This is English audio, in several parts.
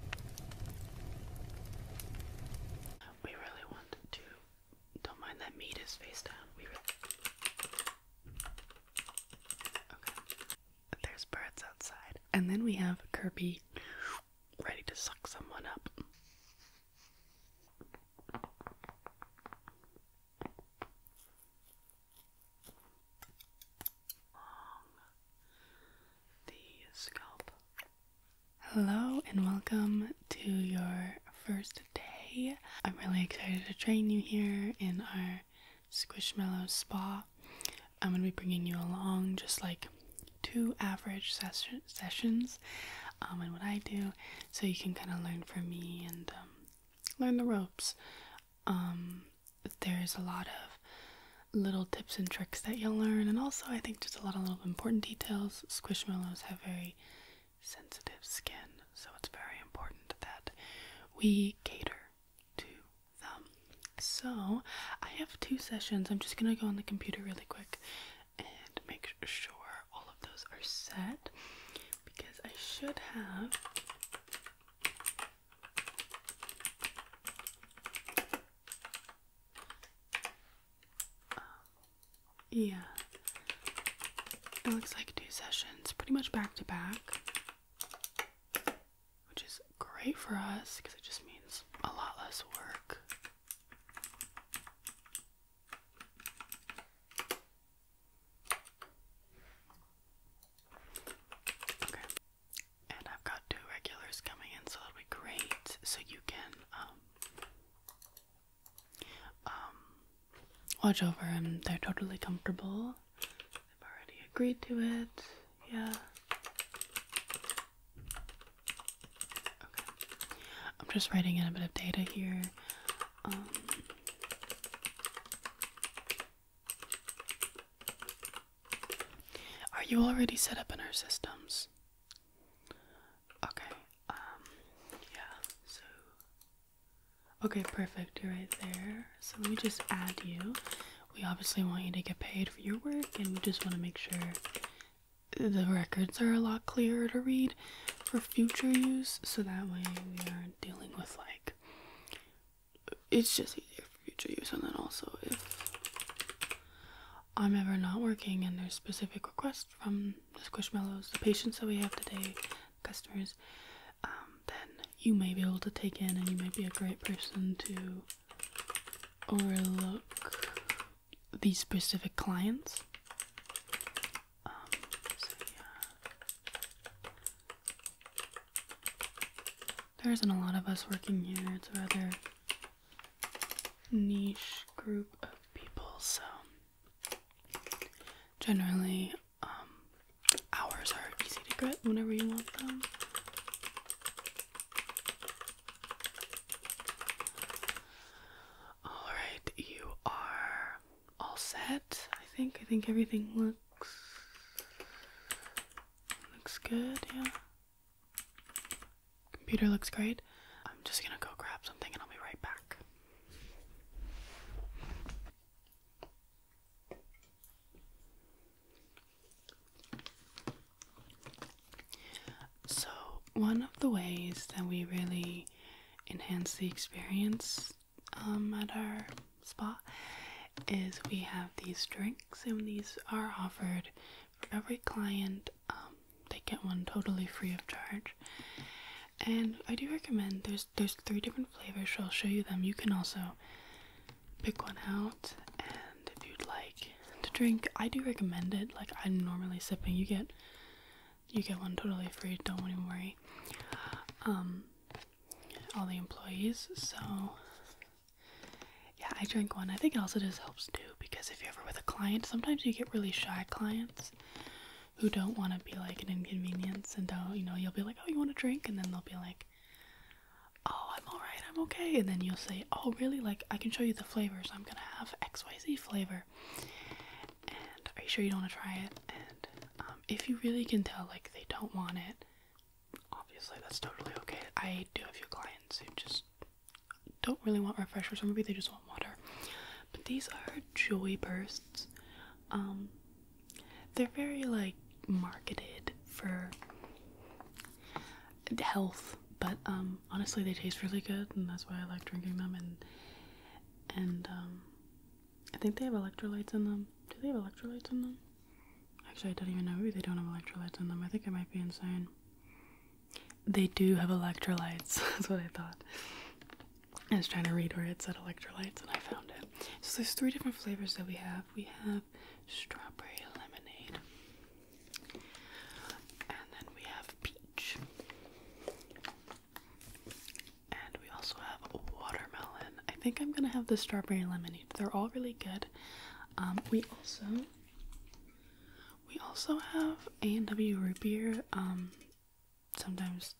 We really want to. Don't mind that meat is face down. Okay. There's birds outside. And then we have Kirby ready to suck someone up. Hello and welcome to your first day. I'm really excited to train you here in our Squishmallow Spa. I'm going to be bringing you along just like two average sessions um, and what I do so you can kind of learn from me and um, learn the ropes. Um, there's a lot of little tips and tricks that you'll learn, and also I think just a lot of little important details. Squishmallows have very sensitive skin, so it's very important that we cater to them. So I have two sessions. I'm just gonna go on the computer really quick and make sure all of those are set because I should have um, yeah. It looks like two sessions pretty much back to back, which is great for us because it just means a lot less work. Okay, and I've got two regulars coming in, so that'll be great. So you can um um watch over them. they're totally comfortable. They've already agreed to it. Yeah. Okay. I'm just writing in a bit of data here. Um, are you already set up in our systems? Okay, um, yeah, so. Okay, perfect. You're right there. So let me just add you. We obviously want you to get paid for your work, and we just want to make sure the records are a lot clearer to read for future use, so that way we aren't dealing with like. It's just easier future use, and then also if I'm ever not working and there's specific requests from the Squishmallows, the patients that we have today, customers, um, then you may be able to take in and you may be a great person to overlook these specific clients. Um, there isn't a lot of us working here, it's rather niche group of people, so generally, um, hours are easy to get whenever you want them. Alright, you are all set, I think. I think everything looks looks good, yeah. Computer looks great. I'm just gonna go grab something and I'll be right back. So, one of the ways that we really enhance the experience um, at our spa is we have these drinks, and these are offered for every client um, they get one totally free of charge and i do recommend there's there's three different flavors so i'll show you them you can also pick one out and if you'd like to drink i do recommend it like i'm normally sipping you get you get one totally free don't even worry um all the employees so yeah, I drink one. I think it also just helps too because if you're ever with a client, sometimes you get really shy clients who don't want to be like an inconvenience and don't, you know, you'll be like, oh, you want a drink? And then they'll be like, oh, I'm alright, I'm okay. And then you'll say, oh, really? Like, I can show you the flavors. I'm gonna have XYZ flavor. And are you sure you don't want to try it? And um, if you really can tell, like, they don't want it, obviously that's totally okay. I do have a few clients who just don't really want refreshers, or maybe they just want water. But these are Joy Bursts. Um, they're very like marketed for health, but um, honestly, they taste really good, and that's why I like drinking them. And and um, I think they have electrolytes in them. Do they have electrolytes in them? Actually, I don't even know. Maybe they don't have electrolytes in them. I think I might be insane. They do have electrolytes. That's what I thought. I was trying to read where it said electrolytes and I found it. So there's three different flavors that we have. We have strawberry lemonade. And then we have peach. And we also have watermelon. I think I'm gonna have the strawberry lemonade. They're all really good. Um, we also we also have A&W root beer. Um, sometimes,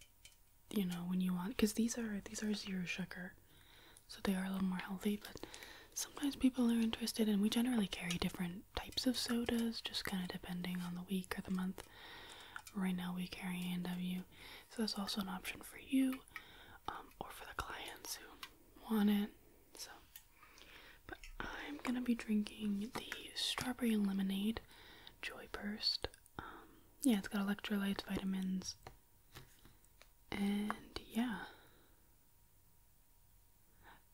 you know, when you want, because these are these are zero sugar, so they are a little more healthy. But sometimes people are interested, and we generally carry different types of sodas, just kind of depending on the week or the month. Right now, we carry A&W, so that's also an option for you, um, or for the clients who want it. So but I'm gonna be drinking the strawberry lemonade joy burst. Um, yeah, it's got electrolytes, vitamins, and yeah.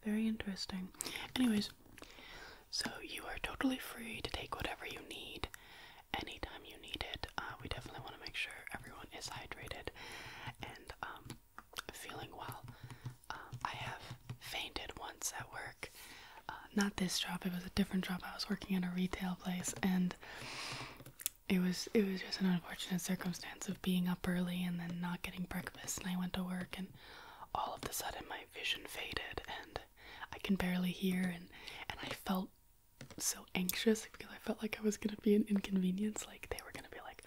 Very interesting. Anyways, so you are totally free to take whatever you need anytime you need it. Uh, we definitely want to make sure everyone is hydrated and um, feeling well. Um, I have fainted once at work. Uh, not this job; it was a different job. I was working in a retail place, and it was it was just an unfortunate circumstance of being up early and then not getting breakfast. And I went to work, and all of a sudden my vision faded, and I can barely hear, and and I felt so anxious because I felt like I was gonna be an inconvenience, like they were gonna be like,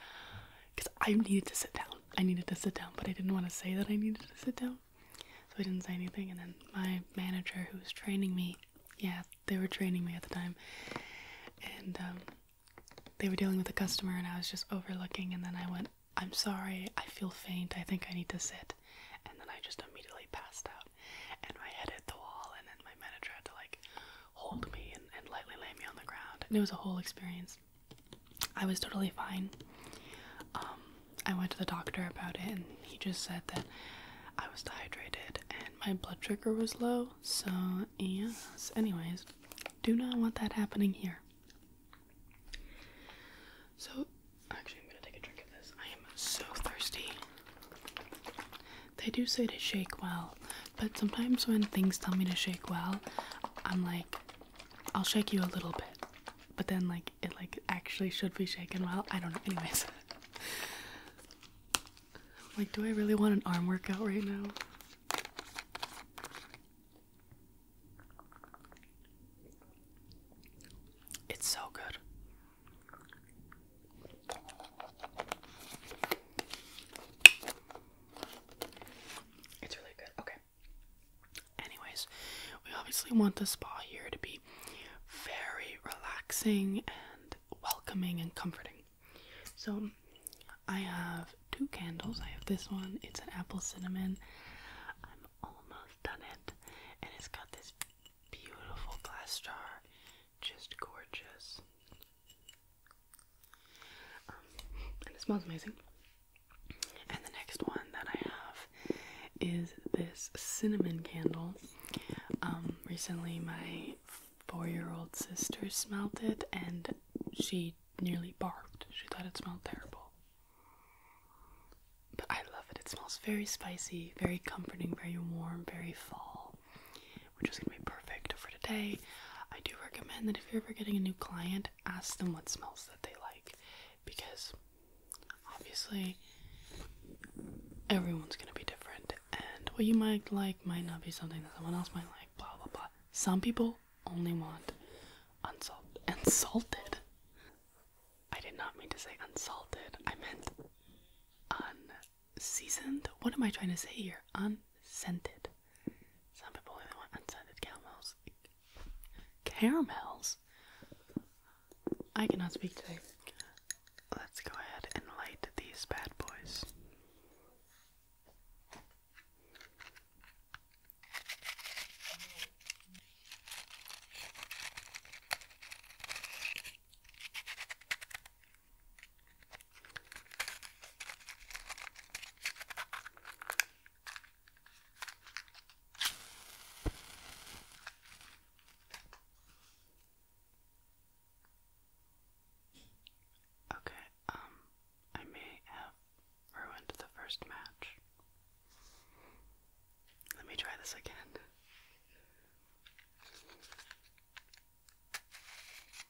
because I needed to sit down I needed to sit down, but I didn't want to say that I needed to sit down. So I didn't say anything. And then my manager, who was training me, yeah, they were training me at the time. And um, they were dealing with a customer, and I was just overlooking. And then I went, I'm sorry, I feel faint. I think I need to sit. And then I just immediately passed out. And my head hit the wall. And then my manager had to, like, hold me and, and lightly lay me on the ground. And it was a whole experience. I was totally fine. Um, I went to the doctor about it, and he just said that I was dehydrated and my blood sugar was low. So, yes, anyways, do not want that happening here. So, actually, I'm gonna take a drink of this. I am so thirsty. They do say to shake well, but sometimes when things tell me to shake well, I'm like, I'll shake you a little bit. But then like it like actually should be shaken well. I don't know. Anyways. like, do I really want an arm workout right now? It's so good. It's really good. Okay. Anyways, we obviously want the spa here to be very relaxing and welcoming and comforting. So I have two candles. I have this one, it's an apple cinnamon. I'm almost done it. And it's got this beautiful glass jar. Just gorgeous and it smells amazing. And the next one that I have is this cinnamon candle. Um, recently, my four year old sister smelled it and she nearly barked. She thought it smelled terrible. But I love it. It smells very spicy, very comforting, very warm, very fall, which is going to be perfect for today. I do recommend that if you're ever getting a new client, ask them what smells that they like because obviously everyone's going to be different and what you might like might not be something that someone else might like blah blah blah some people only want unsalted and i did not mean to say unsalted i meant unseasoned what am i trying to say here unscented some people even want unsalted caramels. Caramels? I cannot speak today. Let's go ahead and light these bad boys. Okay, um, I may have ruined the first match. Let me try this again.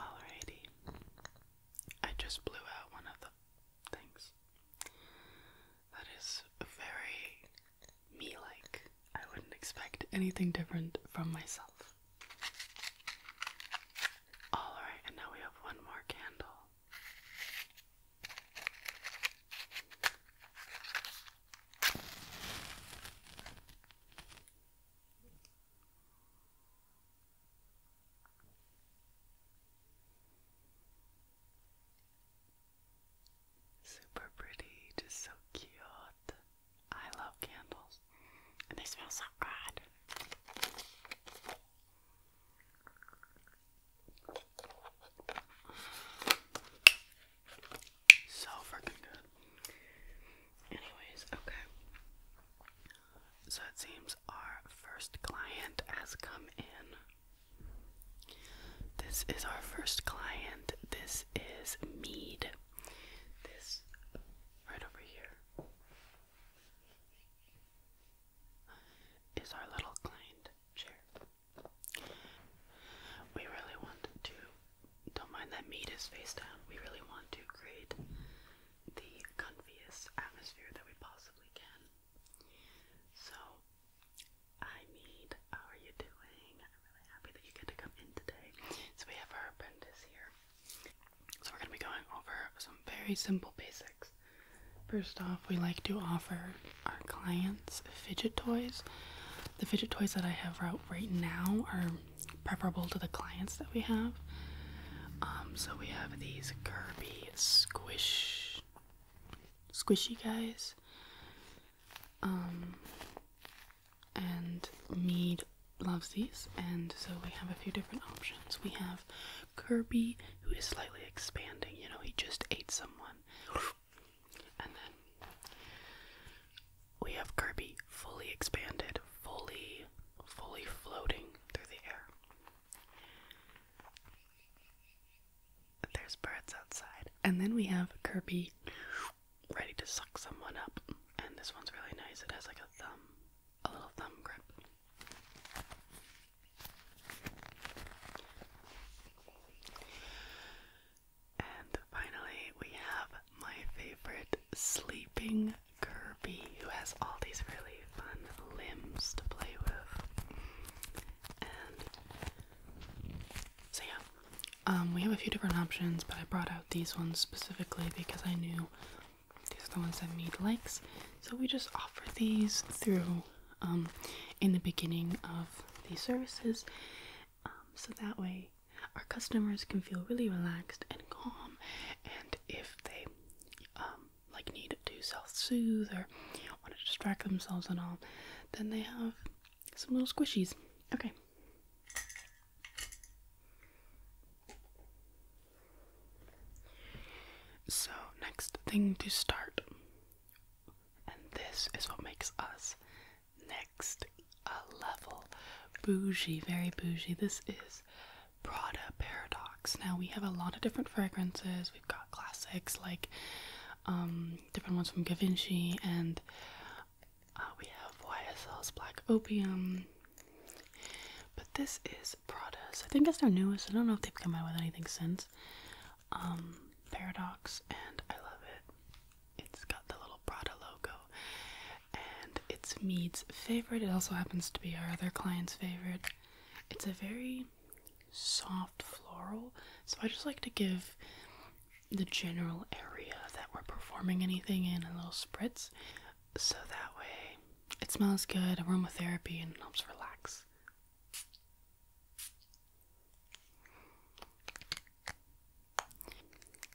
Alrighty. I just blew out one of the things. That is very me like. I wouldn't expect anything different from myself. Alright, and now we have one more candle. Super pretty, just so cute. I love candles, and they smell so good. So freaking good. Anyways, okay. So it seems our first client has come in. This is our first client. This is Mead. This right over here is our little client chair. We really want to don't mind that meat is face We really want to create the comfiest atmosphere that we possibly can. So, I mean, how are you doing? I'm really happy that you get to come in today. So, we have our appendis here. So, we're going to be going over some very simple basics. First off, we like to offer our clients fidget toys. The fidget toys that I have out right now are preferable to the clients that we have. Um, so we have these Kirby squish, squishy guys, um, and Mead loves these, and so we have a few different options. We have Kirby, who is slightly expanding. You know, he just ate someone, and then we have Kirby fully expanded, fully, fully floating through the air. There's birds outside. And then we have Kirby ready to suck someone up. And this one's really nice. It has like a thumb, a little thumb grip. And finally, we have my favorite sleeping Kirby, who has all these really fun limbs to play with. so, yeah, um, we have a few different options, but I brought out these ones specifically because I knew these are the ones that Mead likes. So, we just offer these through um, in the beginning of these services, um, so that way our customers can feel really relaxed and calm and if they um, like need to self-soothe or want to distract themselves and all then they have some little squishies okay so next thing to start and this is what makes us next a level. Bougie, very bougie. This is Prada Paradox. Now we have a lot of different fragrances. We've got classics like um, different ones from Givenchy, and uh, we have YSL's Black Opium. But this is Prada's. I think it's their newest. I don't know if they've come out with anything since. Um, Paradox, and I love it. It's got the little little Prada logo. And it's Mead's favorite. It also happens to be our other client's favorite. It's a very soft floral, so I just like to give the general area that we're performing anything in a little spritz so that way it smells good, aromatherapy, and helps relax.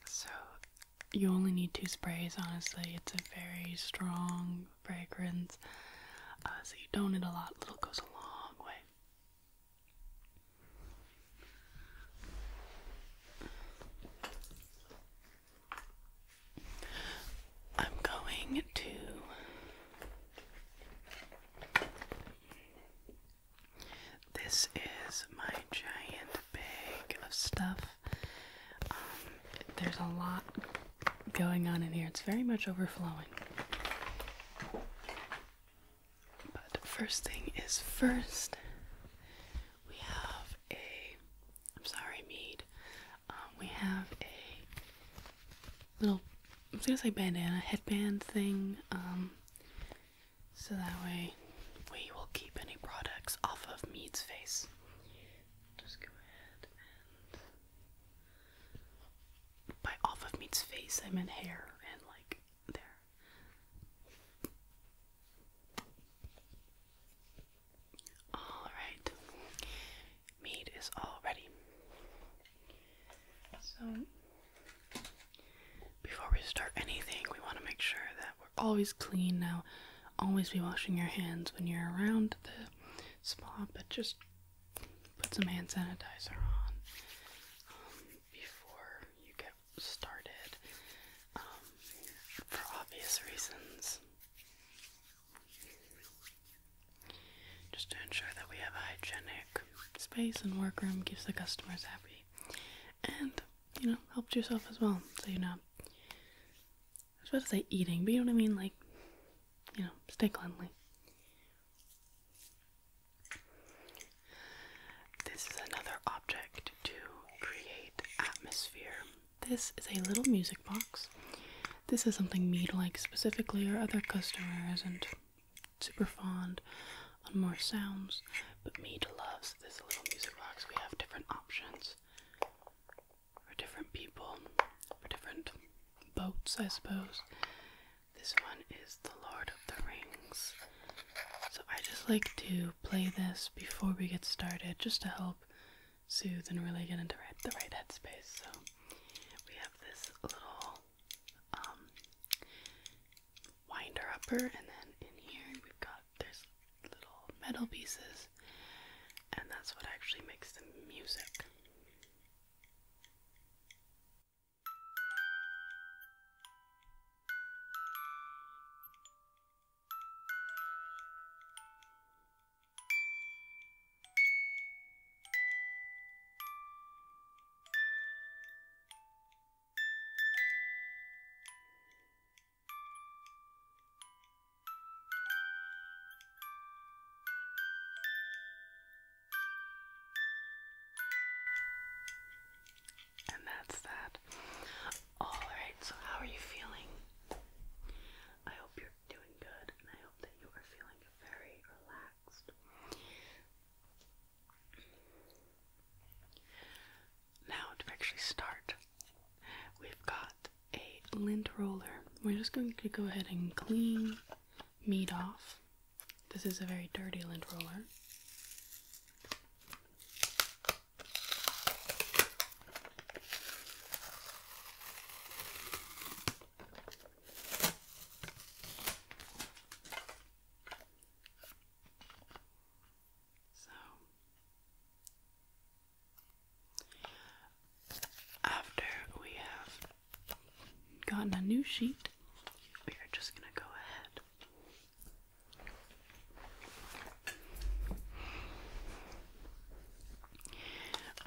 So you only need two sprays, honestly. It's a very strong fragrance, uh, so you don't need a lot. Little goes a long way. I'm going to this is my giant bag of stuff um, there's a lot going on in here. It's very much overflowing. But first thing is first, we have a. I'm sorry, mead. Um, we have a little. I am gonna say bandana headband thing. Um, so that way we will keep any products off of Mead's face. Just go ahead and. By off of Mead's face, I meant hair and like there. Alright, Mead is all ready. So, before we start anything, we want to make sure that always clean now. Always be washing your hands when you're around the spa, but just put some hand sanitizer on um, before you get started um, for obvious reasons. Just to ensure that we have hygienic space and workroom keeps the customers happy and you know helped yourself as well so you know i was about to say eating but you know what i mean like you know stay cleanly this is another object to create atmosphere this is a little music box this is something me to like specifically our other customer isn't super fond on more sounds but me to loves this little music box we have different options for different people, for different boats, I suppose. This one is The Lord of the Rings. So I just like to play this before we get started just to help soothe and really get into the right headspace. So we have this little um, winder upper, and then in here we've got there's little metal pieces, and that's what actually makes the music. And that's that. Alright, so how are you feeling? I hope you're doing good and I hope that you are feeling very relaxed. Now, to actually start We've got a lint roller. We're just going to go ahead and clean meat off. This is a very dirty lint roller. So after we have gotten a new sheet, we are just going to go ahead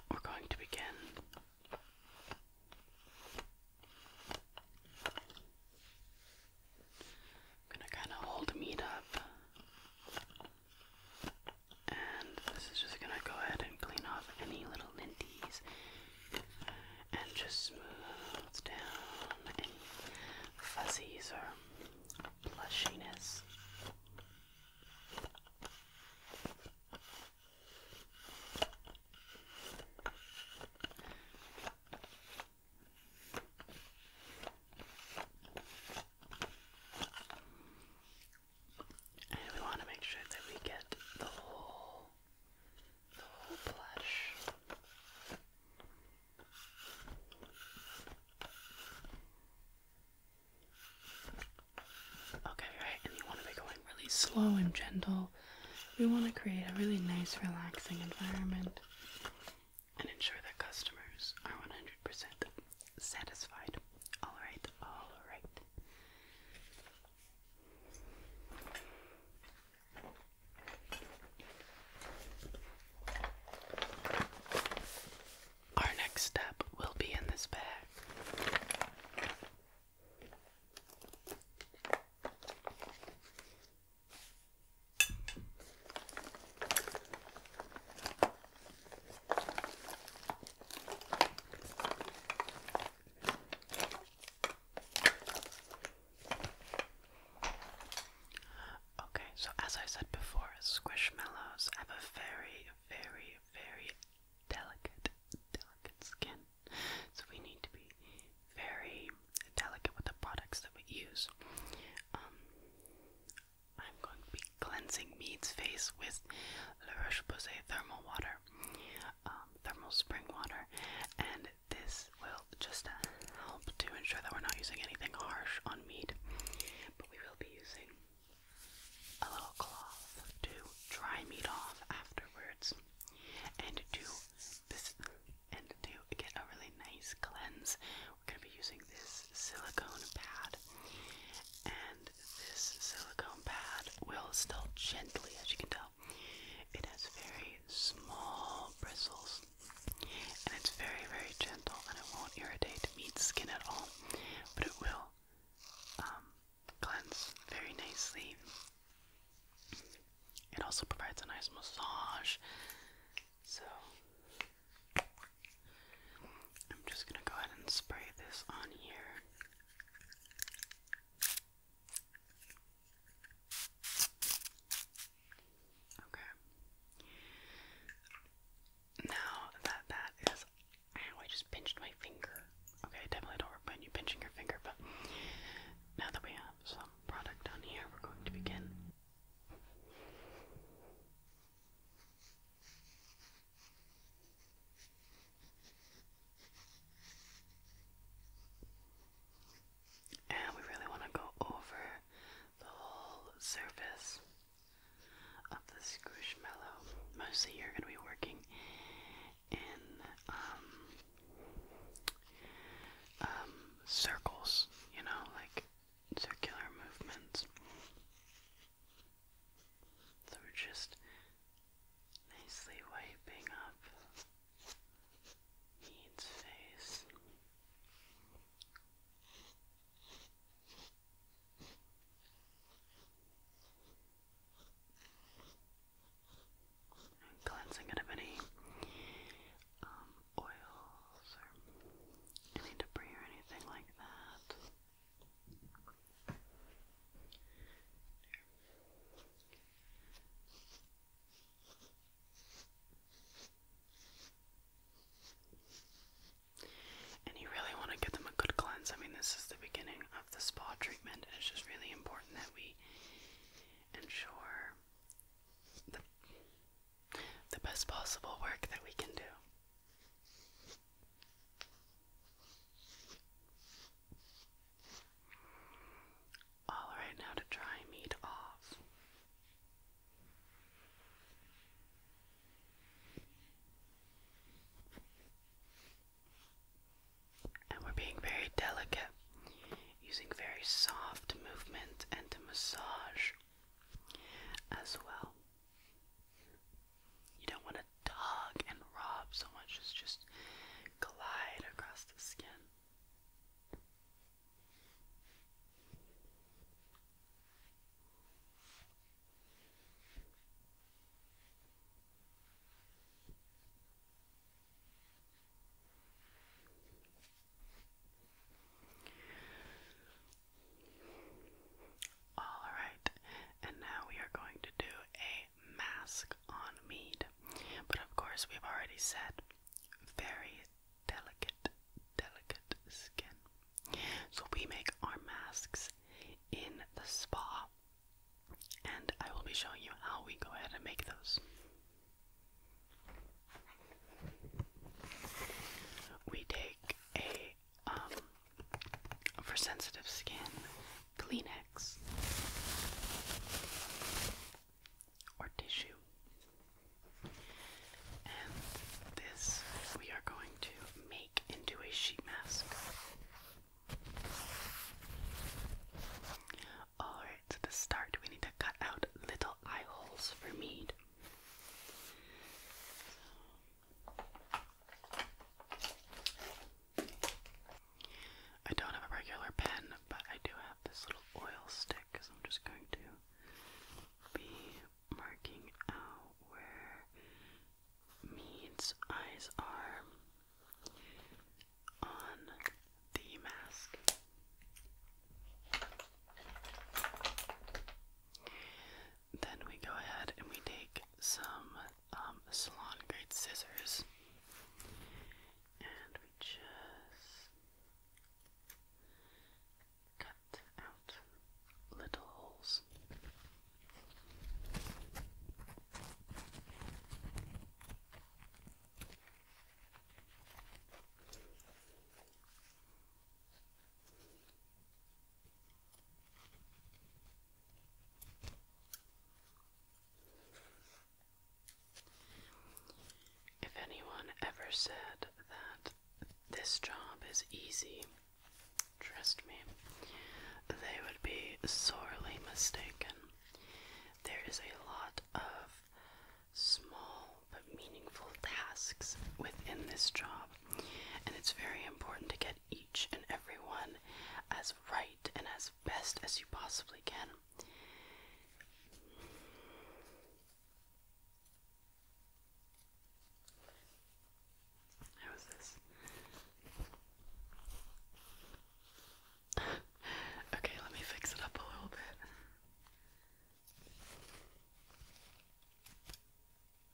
we're going to begin I'm going to kind of hold meat up and this is just gonna go ahead and clean off any little linties and just smooth down any fuzzies or plushiness we want to make sure that we get the whole the whole blush. Okay, right, and you want to be going really slow and gentle. We want to create a really nice, relaxing environment and ensure that customers are 100% satisfied. Alright, alright. Our next step will be in this bag. Okay, so as I said before, squishmallows have a very, very, very delicate, delicate skin. So we need to be very delicate with the products that we use. Um, I'm going to be cleansing Mead's face with La Roche Posay thermal water, um, thermal spring water, and this will just uh, help to ensure that we're not using anything harsh on Mead. But we will be using a little cloth to dry Mead off afterwards, and to this, and to get a really nice cleanse we're going to be using this silicone pad, and this silicone pad will still gently, as you can tell, it has very small bristles, and it's very, very gentle, and it won't irritate meat skin at all, but it will um, cleanse very nicely. It also provides a nice massage. So, I'm just going to go ahead and spray this on here. Okay. Now that that is, ow, I just pinched my finger. Okay, definitely don't work you pinching your finger, but now that we have some product on here, we're going to begin. And we really want to go over the whole surface of the squishmallow. Mostly you're going to be working in um, um, circles, you know, like circular movements. So we're just nicely wiping up Mead's face. cleansing it of any um, oils or any debris or anything like that. And you really want to give them a good cleanse. I mean, this is the beginning of the spa treatment, it's just really important that we ensure the the best possible work that we can do. All right, now to dry meat off. And we're being very delicate, using very soft movement and massage as well. You don't want to tug and rob so much as just glide across the skin. Alright, and now we are going to do a mask on mead. But of course, we've already said very delicate, delicate skin. So we make our masks in the spa, and I will be showing you how we go ahead and make those. We take a um, for sensitive skin, Kleenex or tissue. And this we are going to make into a sheet mask. Alright, to start, we need to cut out little eye holes for mead. I don't have a regular pen, but I do have this little oil stick, so I'm just going to be marking out where Mead's eyes are on the mask. Then we go ahead and we take some um, salon grade scissors and we just cut out little holes. If anyone ever said that this job is easy, trust me, they would be sorely mistaken. There is a lot of small but meaningful tasks within this job and it's very important to get each and every one as right and as best as you possibly can. How is this? okay, let me fix it up a little bit.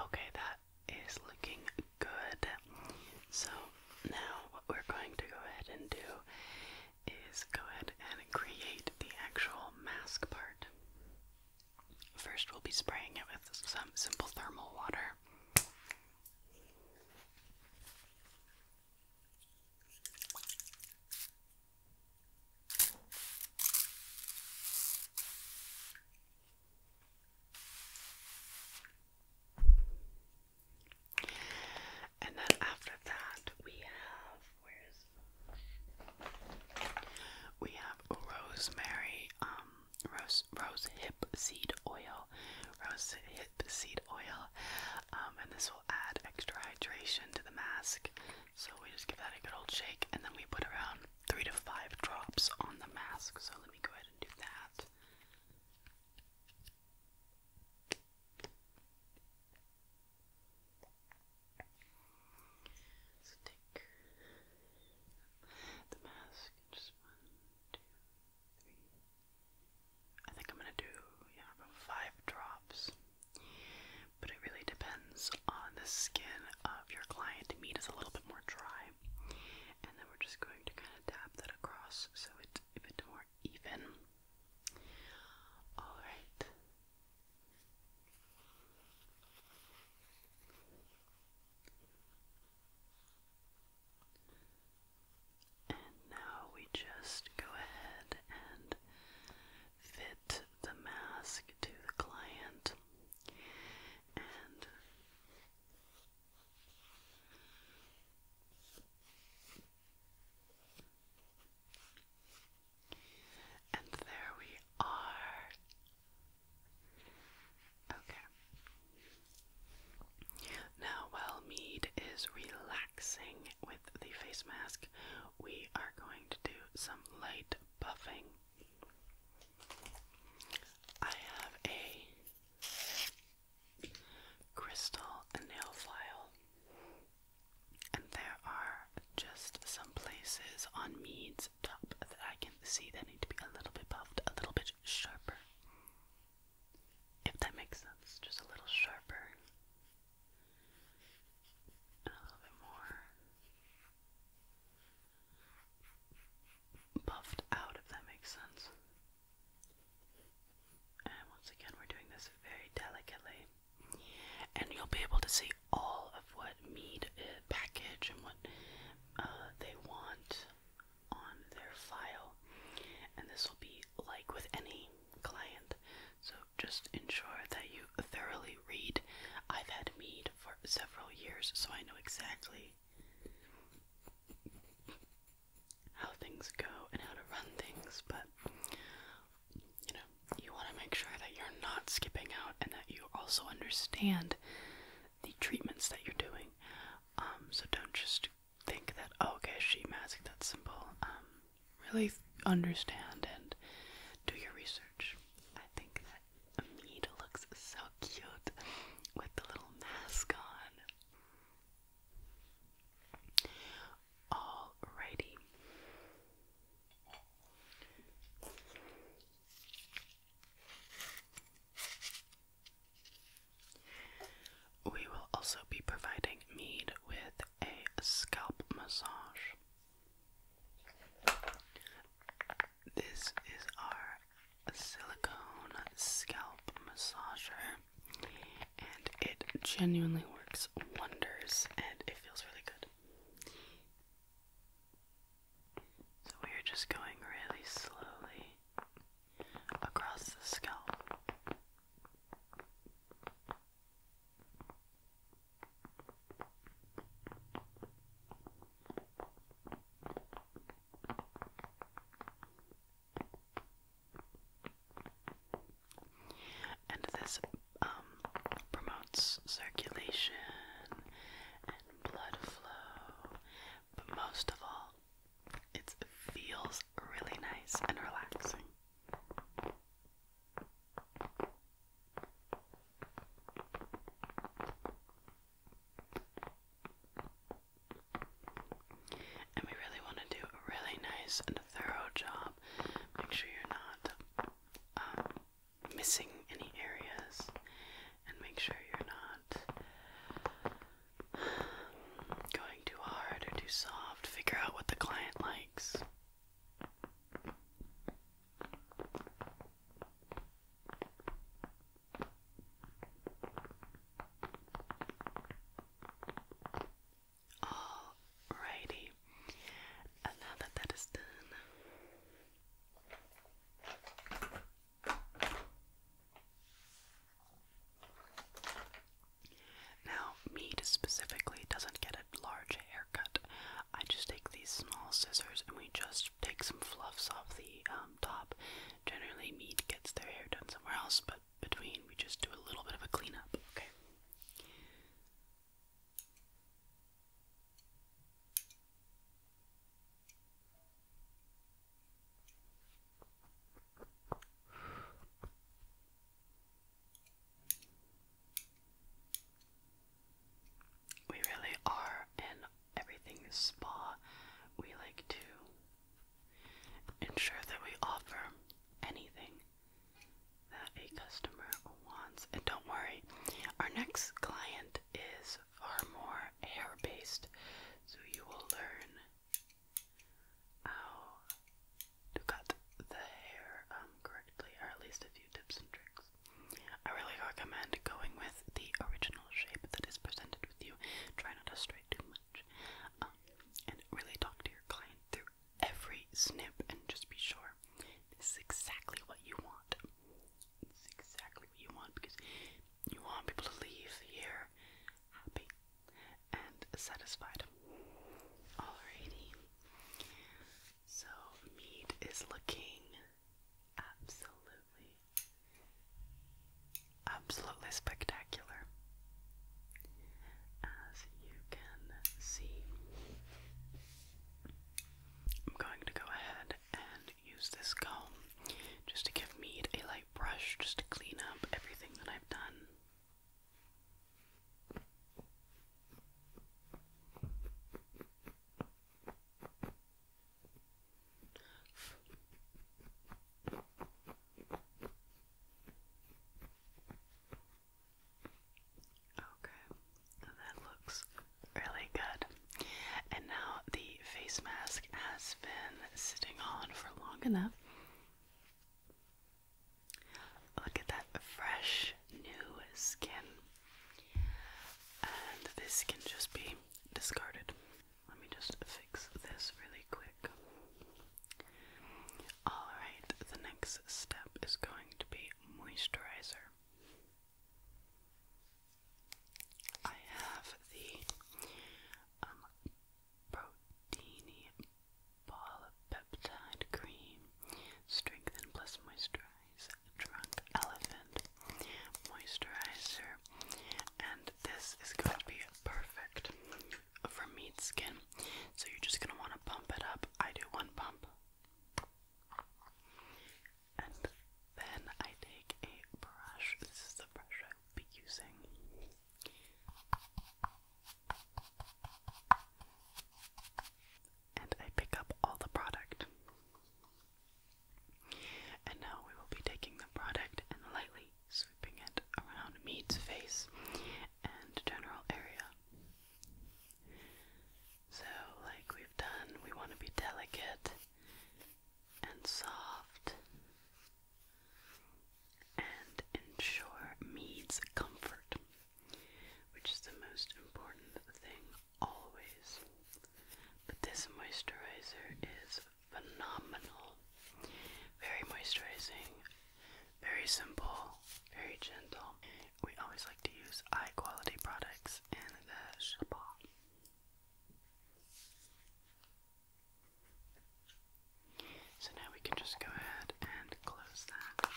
Okay, that is looking good. So now what we're going to go ahead and do is go ahead and create the actual mask part. First, we'll be spraying it with some simple thermal water. And then after that, we have where's we have rosemary, um, rose rose hip seed oil, rose hip seed oil, um, and this will add extra hydration to the mask. So we just give that a good old shake, and then we put around three to five drops on the mask. So let me go ahead and do that. So the mask just one, two, three. I think I'm gonna do yeah about five drops. But it really depends on the skin of your client. Meat is a little bit more dry. And then we're just going to kind of dab that across so it's a bit more even. Alright. And now we just go ahead and fit the mask to the client and and there we are. Okay. Now, while mead is relaxing with the face mask, we are going to do some light buffing. I have a crystal nail file, and there are just some places on Mead's top that I can see that need to be a little bit buffed, a little bit sharper. If that makes sense, just a little sharper and a little bit more buffed out, if that makes sense. And once again, we're doing this very delicately, and you'll be able to see all of what mead uh, package and what uh, they want on their file. And this will be like with any client, so just ensure that you thoroughly read. I've had mead for several years, so I know exactly how things go and how to run things, but you know, you want to make sure that you're not skipping out and that you also understand the treatments that you're doing. Um, so don't just think that, oh, okay, she magic, that's simple. Um, really understand and do your research. I think that Amid looks so cute with the little mask on. Alrighty. We will also be providing Mead with a scalp massage. This is our silicone scalp massager, and it genuinely works wonders and it feels really good. So, we are just going really slowly across the scalp. And this um, promotes circulation and blood flow, but most of all, it feels really nice and relaxing. And we really want to do a really nice and thorough job. Make sure you're not um, missing any areas, and make sure you're not going too hard or too soft. Figure out what the client likes. Alrighty, now that that is done. Now, meat specifically doesn't get a large haircut. I just take these small scissors and we just take some fluffs off the um, top. Generally, me gets their hair done somewhere else, but between we just do a little bit of a cleanup, okay? We really are an everything spa. We like to ensure that we offer anything that a customer wants. And don't worry, our next client is far more hair based, so you will learn how to cut the hair um, correctly, or at least a few tips and tricks. I really recommend going with the original shape that is presented with you. Try not to stray too much. Um, and really talk to your client through every snip and just be sure this is exactly what you want. It's exactly what you want because you want people to leave here happy and satisfied. Alrighty. So, meat is looking absolutely, absolutely spectacular. As you can see, I'm going to go ahead and use this comb just to give meat a light brush just to clean up everything that I've done. Okay, that looks really good. And now the face mask has been sitting on for long enough. Look at that fresh new skin. And this can just be discarded. Let me just fix this really quick. Alright, the next step is going to be moisturizer. I have the um, Proteini Polypeptide Cream Strengthen Plus Moisturize Drunk Elephant moisturizer, and this is going to be perfect for meat skin. So you're just going to want to pump it up. I do one pump, and then I take a brush. This is the brush I will be using and I pick up all the product. And now we will be taking the product and lightly sweeping it around Mead's face and general area. So, like we've done, we want to be delicate and soft and ensure Mead's comfort, which is the most important thing always. But this moisturizer is phenomenal. Very moisturizing, very simple, very gentle. We always like to use high quality products in the spa. So now we can just go ahead and close that.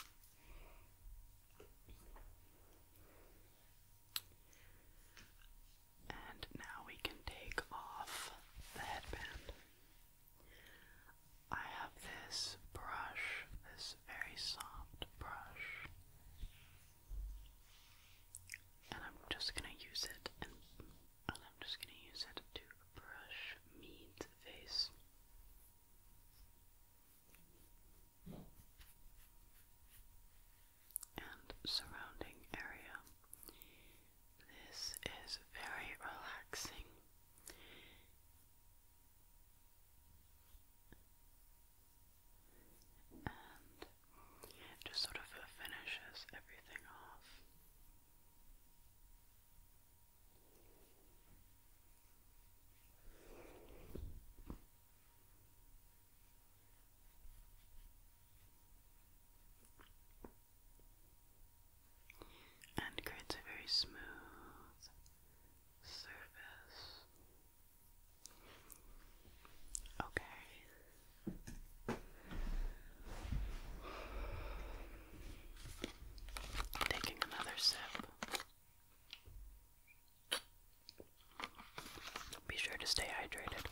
And now we can take off the headband. I have this brush, this very soft brush, and I'm just going to use it, and, I'm just going to use it to brush Mead's face and surrounding area. This is very relaxing. And just sort of finishes everything off and creates a very smooth surface. Okay. Taking another sip. Be sure to stay hydrated.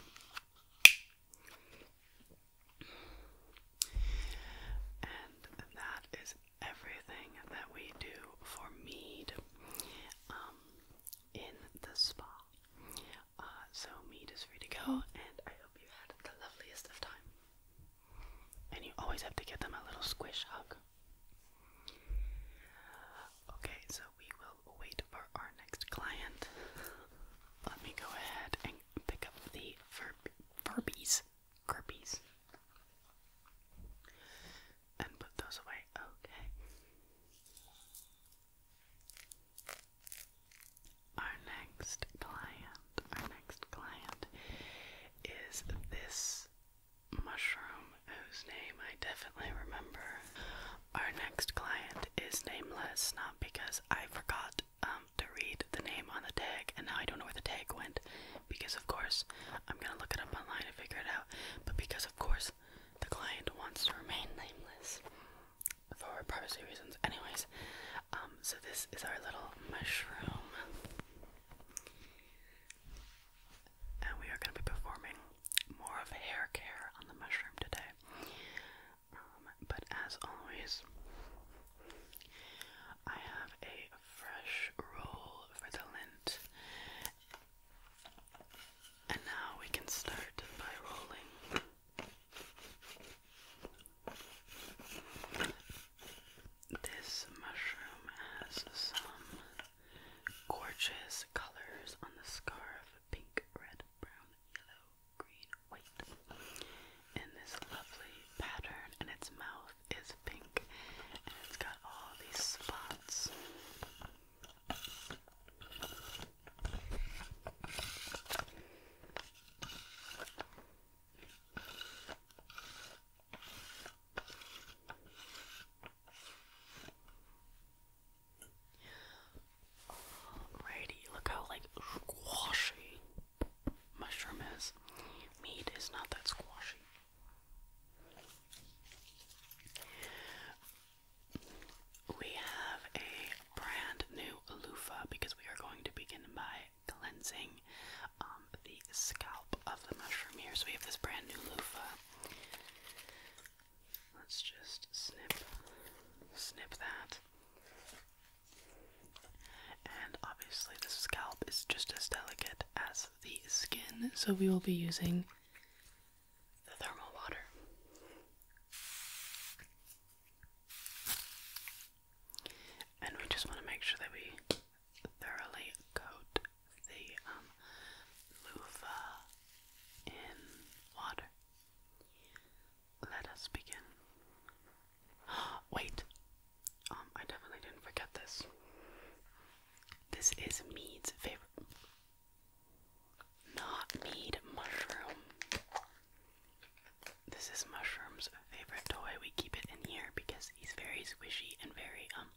And that is everything that we do for mead um, in the spa. Uh, so, mead is free to go, and I hope you had the loveliest of time. And you always have to give them a little squish hug. Okay, so we will wait for our next client. Let me go ahead and pick up the fur furbies, and put those away. Okay. Our next client, our next client is this mushroom whose name I definitely remember. Our next client is nameless, not because I forgot um, to read the name on the tag and now I don't know where the tag went because, of course, I'm gonna look it up online and figure it out, but because, of course, the client wants to remain nameless for privacy reasons. Anyways, um, so this is our little mushroom. And we are going to be performing more of hair care on the mushroom today. Um, but as always, I have a fresh roll for the lint. And now we can start by rolling. This mushroom has some Gorgeous colors on the scarf pink, red, brown, yellow, green, white. And this lovely pattern, and its mouth is pink, and it's got all these spots. Alrighty, look how like squashy mushroom is. Meat is not that squashy. We have a brand new loofah because we are going to begin by cleansing um, the scalp of the mushroom here. So we have this brand new loofah. Let's just snip, snip that. And obviously, the scalp is just as delicate as the skin, so we will be using the thermal water. And we just want to make sure that we thoroughly coat the um, loofah in water. Let us begin. Wait, um, I definitely didn't forget this. This is Mead's favorite, not Mead mushroom. This is Mushroom's favorite toy. We keep it in here because he's very squishy and very um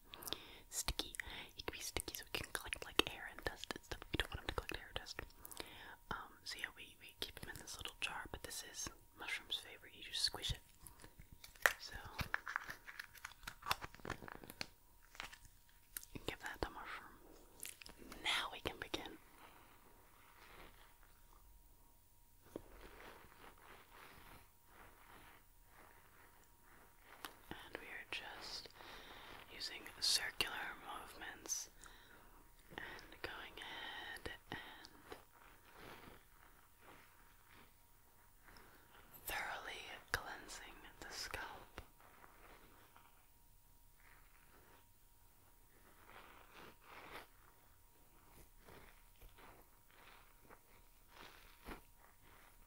sticky. He can be sticky so we can collect like air and dust and stuff. We don't want him to collect air and dust. Um, so yeah, we, we keep him in this little jar, but this is Mushroom's favorite. You just squish it. So, give that to Mushroom. Now we can begin. And we are just using circular movements and going ahead and thoroughly cleansing the scalp.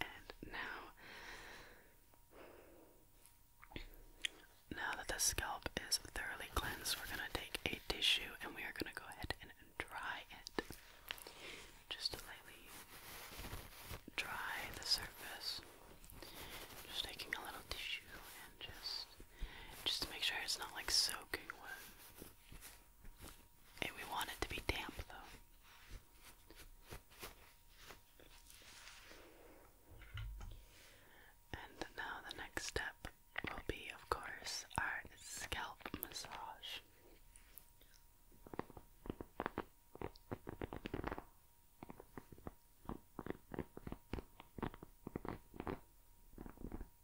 And now, now that the scalp is thoroughly cleansed, we're going to take a tissue and we are going to go ahead and dry it. Just lightly dry the surface. Just taking a little tissue and just just to make sure it's not like soaking wet. And we want it to be damp though. And now the next step will be, of course, our scalp massage.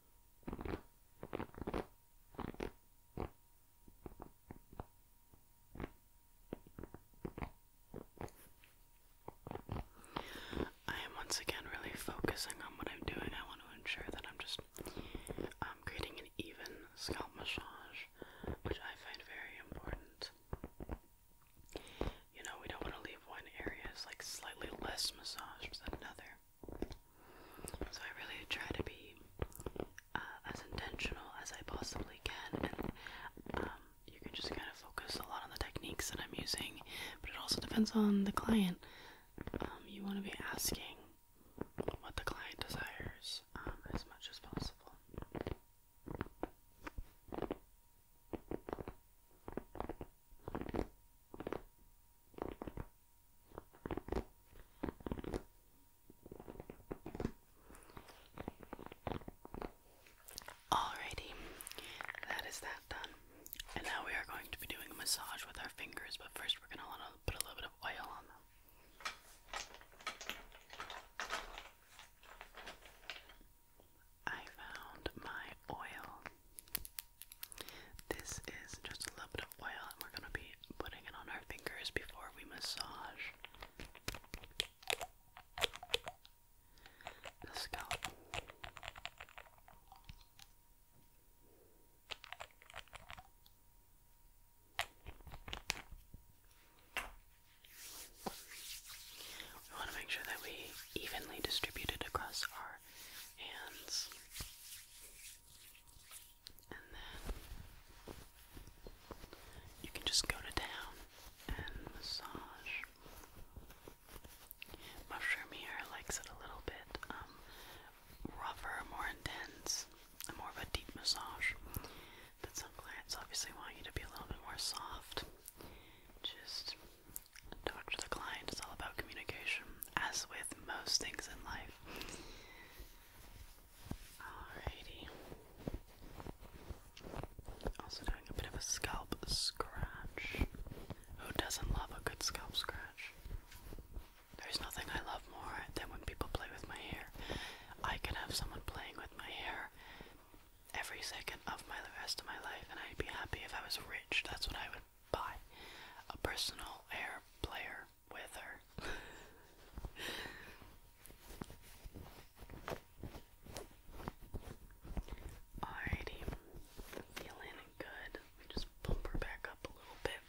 I am once again really focusing on what I'm doing. I want to ensure that I'm just um, creating an even scalp massage, which I find very important. You know, we don't want to leave one area like slightly less massaged than another. So I really try to be uh, as intentional as I possibly can, and um, you can just kind of focus a lot on the techniques that I'm using, but it also depends on the client. Um, you want to be asking what the client desires um, as much as possible. Alrighty, that is that done. And now we are going to be doing a massage with our fingers, but first we're going to put a little bit of oil on I found my oil this is just a little bit of oil, and we're going to be putting it on our fingers before we massage the scalp. We want to make sure that we evenly distribute it across our and then you can just go to town and massage. Mushroom likes it a little bit um, rougher, more intense, more of a deep massage. But some clients obviously want you to be a little bit more soft. Just talk to the client is all about communication, as with most things in life. Alrighty. Also doing a bit of a scalp scratch. Who doesn't love a good scalp scratch? There's nothing I love more than when people play with my hair. I could have someone playing with my hair every second of my rest of my life and I'd be happy if I was rich. That's what I would buy a personal air player with her. Alrighty, feeling good. Let just bump her back up a little bit.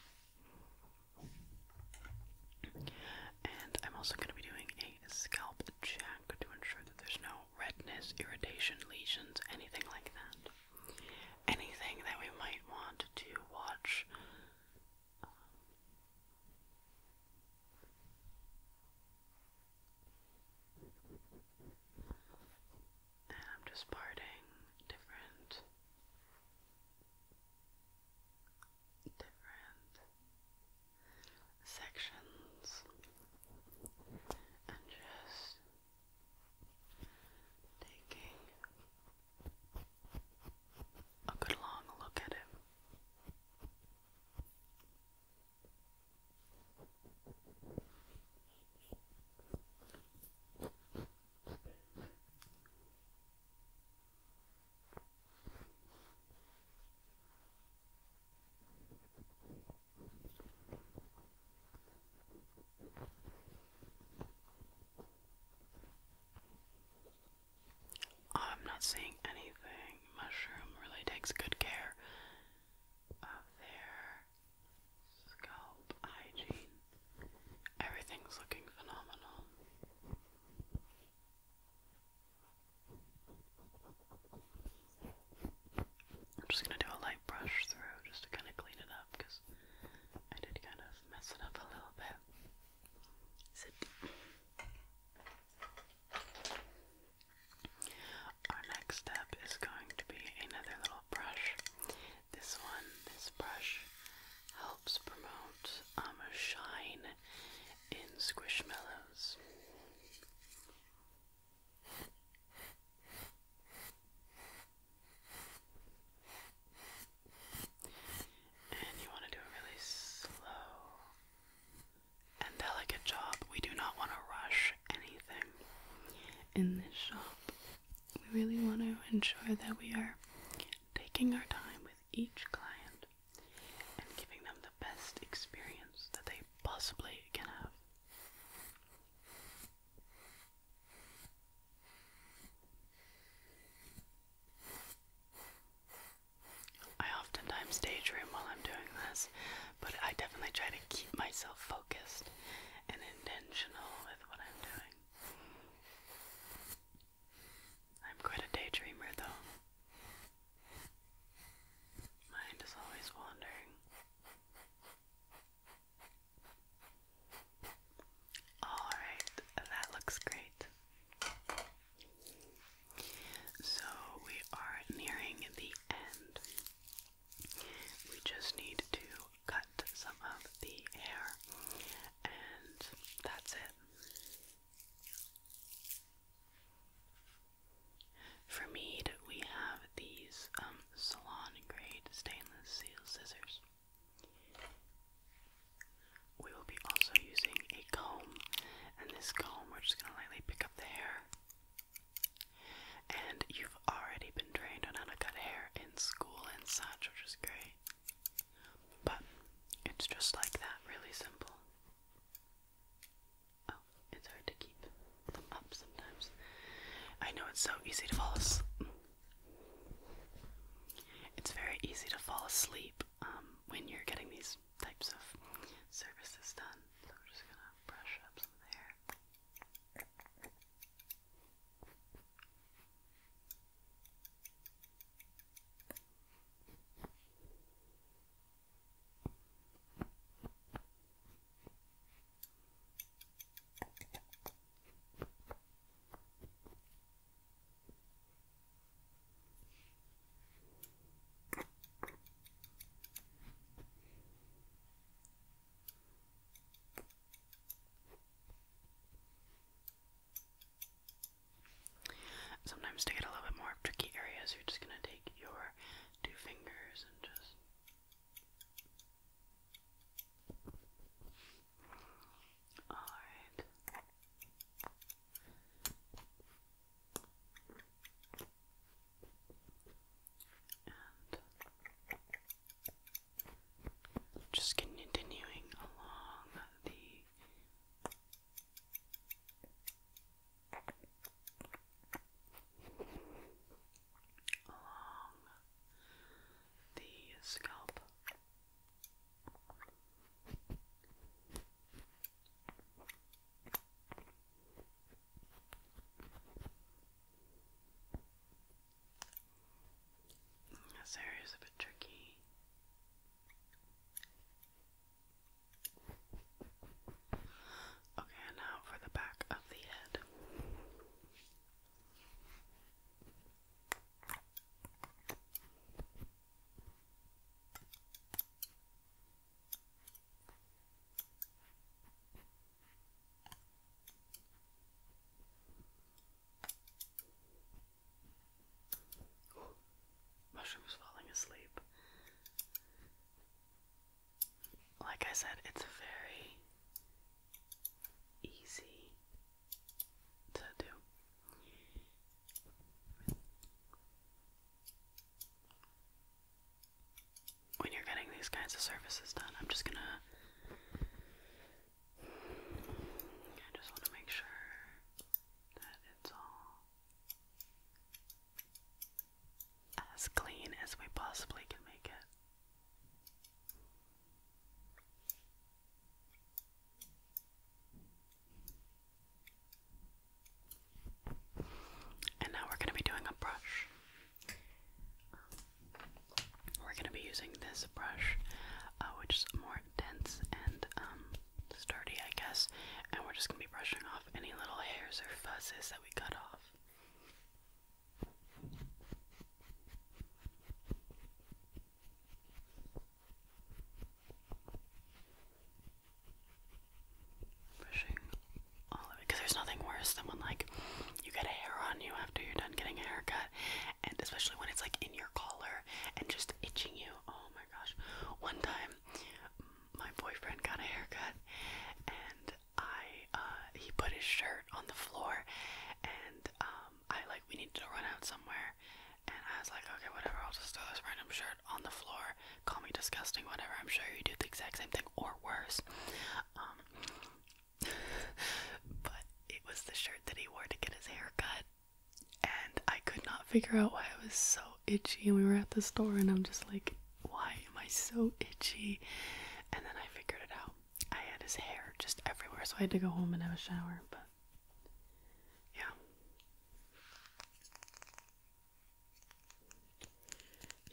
And I'm also going to be doing a scalp check to ensure that there's no redness, irritation, lesions, anything like that anything that we might want to watch. I'm just parting different different sections and just Taking a good long look at him. Oh, I'm not seeing anything. Mushroom really takes good care of their scalp hygiene. Everything's looking phenomenal. I'm just going to do a light brush through just to kind of clean it up because I did kind of mess it up a little bit. Our next step is going to be another little brush. This one, this brush, helps promote um, shine in Squish Squishmallows. And you want to do a really slow and delicate job. We do not want to rush anything in this shop. We really want to ensure that we are taking our time with each client and giving them the best experience that they possibly can have. I oftentimes daydream while I'm doing this, but I definitely try to keep myself focused and intentional with what I'm doing. I'm quite a daydreamer, though. Mind is always wandering. Alright, that looks great. So we are nearing the end. We just need to cut some of the hair, and that's it. For mead, we have these um, salon grade stainless steel scissors. We will be also using a comb, and this comb we're just gonna lightly pick up the hair. And you've already been trained on how to cut hair in school and such, which is great. But it's just like that, really simple. Oh, it's hard to keep them up sometimes. I know it's so easy to fall asleep. It's very easy to fall asleep um, when you're getting these types of services done. So we're just gonna brush up some of the hair. Sometimes to get a little bit more tricky areas, you're just going to take your two fingers and just all right. And just continuing along the along the scalp. This area is a bit tricky. Okay, now for the back of the head. Oh, mushroom's falling asleep. Like I said, it's very easy to do. When you're getting these kinds of services done, I'm just gonna. I just want to make sure that it's all as clean as we possibly can make it. And now we're going to be doing a brush. We're going to be using this brush, uh, which is more dense and um, sturdy, I guess. And we're just going to be brushing off any little hairs or fuzzes that we cut off. Brushing all of it because there's nothing worse than when like you get a hair on you after you're done getting a haircut, and especially when it's like in your collar and just itching you. Oh my gosh! One time, my boyfriend got a haircut, and I uh, he put his shirt on the floor, and um, um, I like we needed to run out somewhere, and I was like, okay, whatever, I'll just throw this random shirt on the floor. Call me disgusting, whatever. I'm sure you do the exact same thing or worse. Um, but it was the shirt that he wore to get his hair cut, and I could not figure out why I was so itchy. And we were at the store, and I'm just like, why am I so itchy? And then I figured it out. I had his hair just everywhere, so I had to go home and have a shower, but yeah.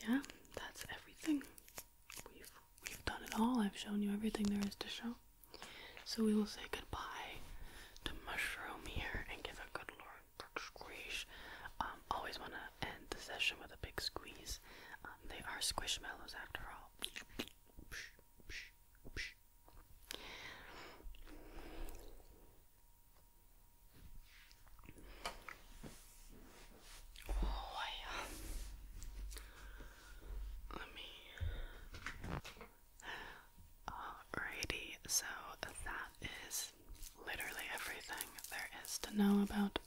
Yeah, that's everything. We've we've done it all. I've shown you everything there is to show. So we will say goodbye to Mushroom here and give a good Lord squish. Um, always want to end the session with a big squeeze. Um, they are squishmallows after all. Oh, I, let me. Alrighty, so that is literally everything there is to know about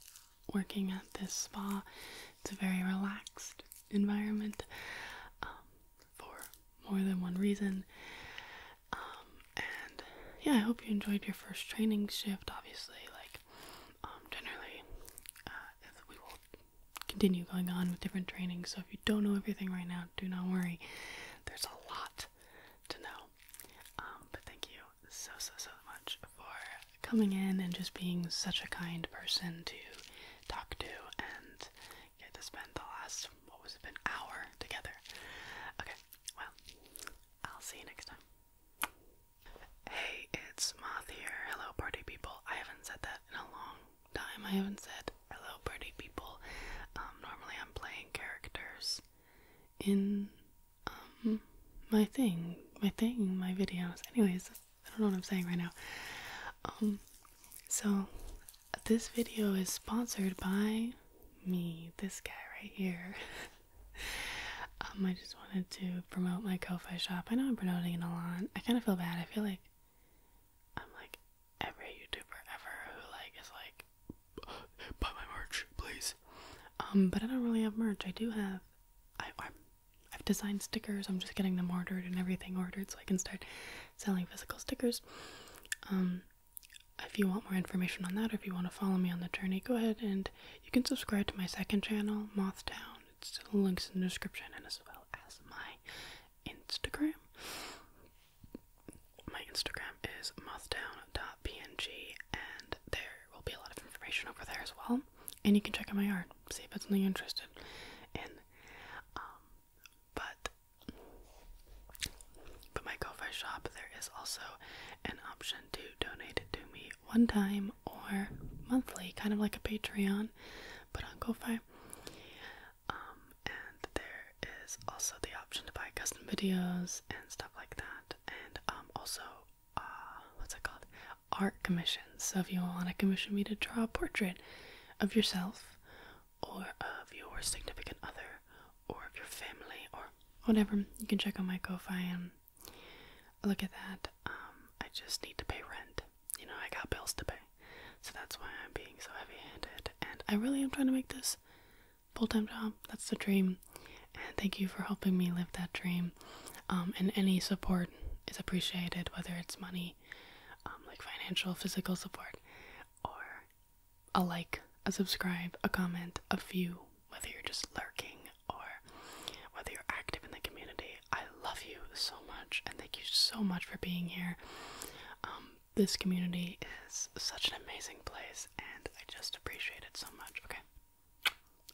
working at this spa. It's very relaxed environment um, for more than one reason. Um, and yeah, I hope you enjoyed your first training shift. Obviously, like um, generally, uh, we will continue going on with different trainings. So if you don't know everything right now, do not worry. There's a lot to know. but thank you so so so much for coming in and just being such a kind person to talk to and get to spend the last, what was it, been hour together. Okay, well, I'll see you next time. Hey, it's Moth here. Hello, party people. I haven't said that in a long time. I haven't said hello, party people. Um, normally I'm playing characters in um, my thing, my thing, my videos. Anyways, I don't know what I'm saying right now. Um, so this video is sponsored by me, this guy right here. um, I just wanted to promote my kofi shop. I know I'm promoting it a lot. I kind of feel bad. I feel like I'm like every YouTuber ever who like is like buy my merch, please. Um, but I don't really have merch. I do have I'm I've designed stickers. I'm just getting them ordered and everything ordered so I can start selling physical stickers. Um, if you want more information on that, or if you want to follow me on the journey, go ahead and you can subscribe to my second channel, Mothtown. It's links in the description and as well as my Instagram. My Instagram is mothtown.png, and there will be a lot of information over there as well. And you can check out my art, see if it's something you interested in. Um, but but my GoFi shop there is also an option to donate to me one time or monthly, kind of like a Patreon, but on GoFi. Um, and there is also the option to buy custom videos and stuff like that, and um, also uh, what's it called? art commissions. So if you want to commission me to draw a portrait of yourself or of your significant other or of your family or whatever, you can check out my Ko-Fi and look at that. Um, I just need to pay rent. You know, I got bills to pay. So that's why I'm being so heavy-handed. And I really am trying to make this full-time job. That's the dream. And thank you for helping me live that dream. Um, and any support is appreciated, whether it's money um, like financial physical support or a like a subscribe a comment a view whether you're just lurking or whether you're active in the community i love you so much and thank you so much for being here um, this community is such an amazing place and i just appreciate it so much okay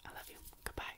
i love you goodbye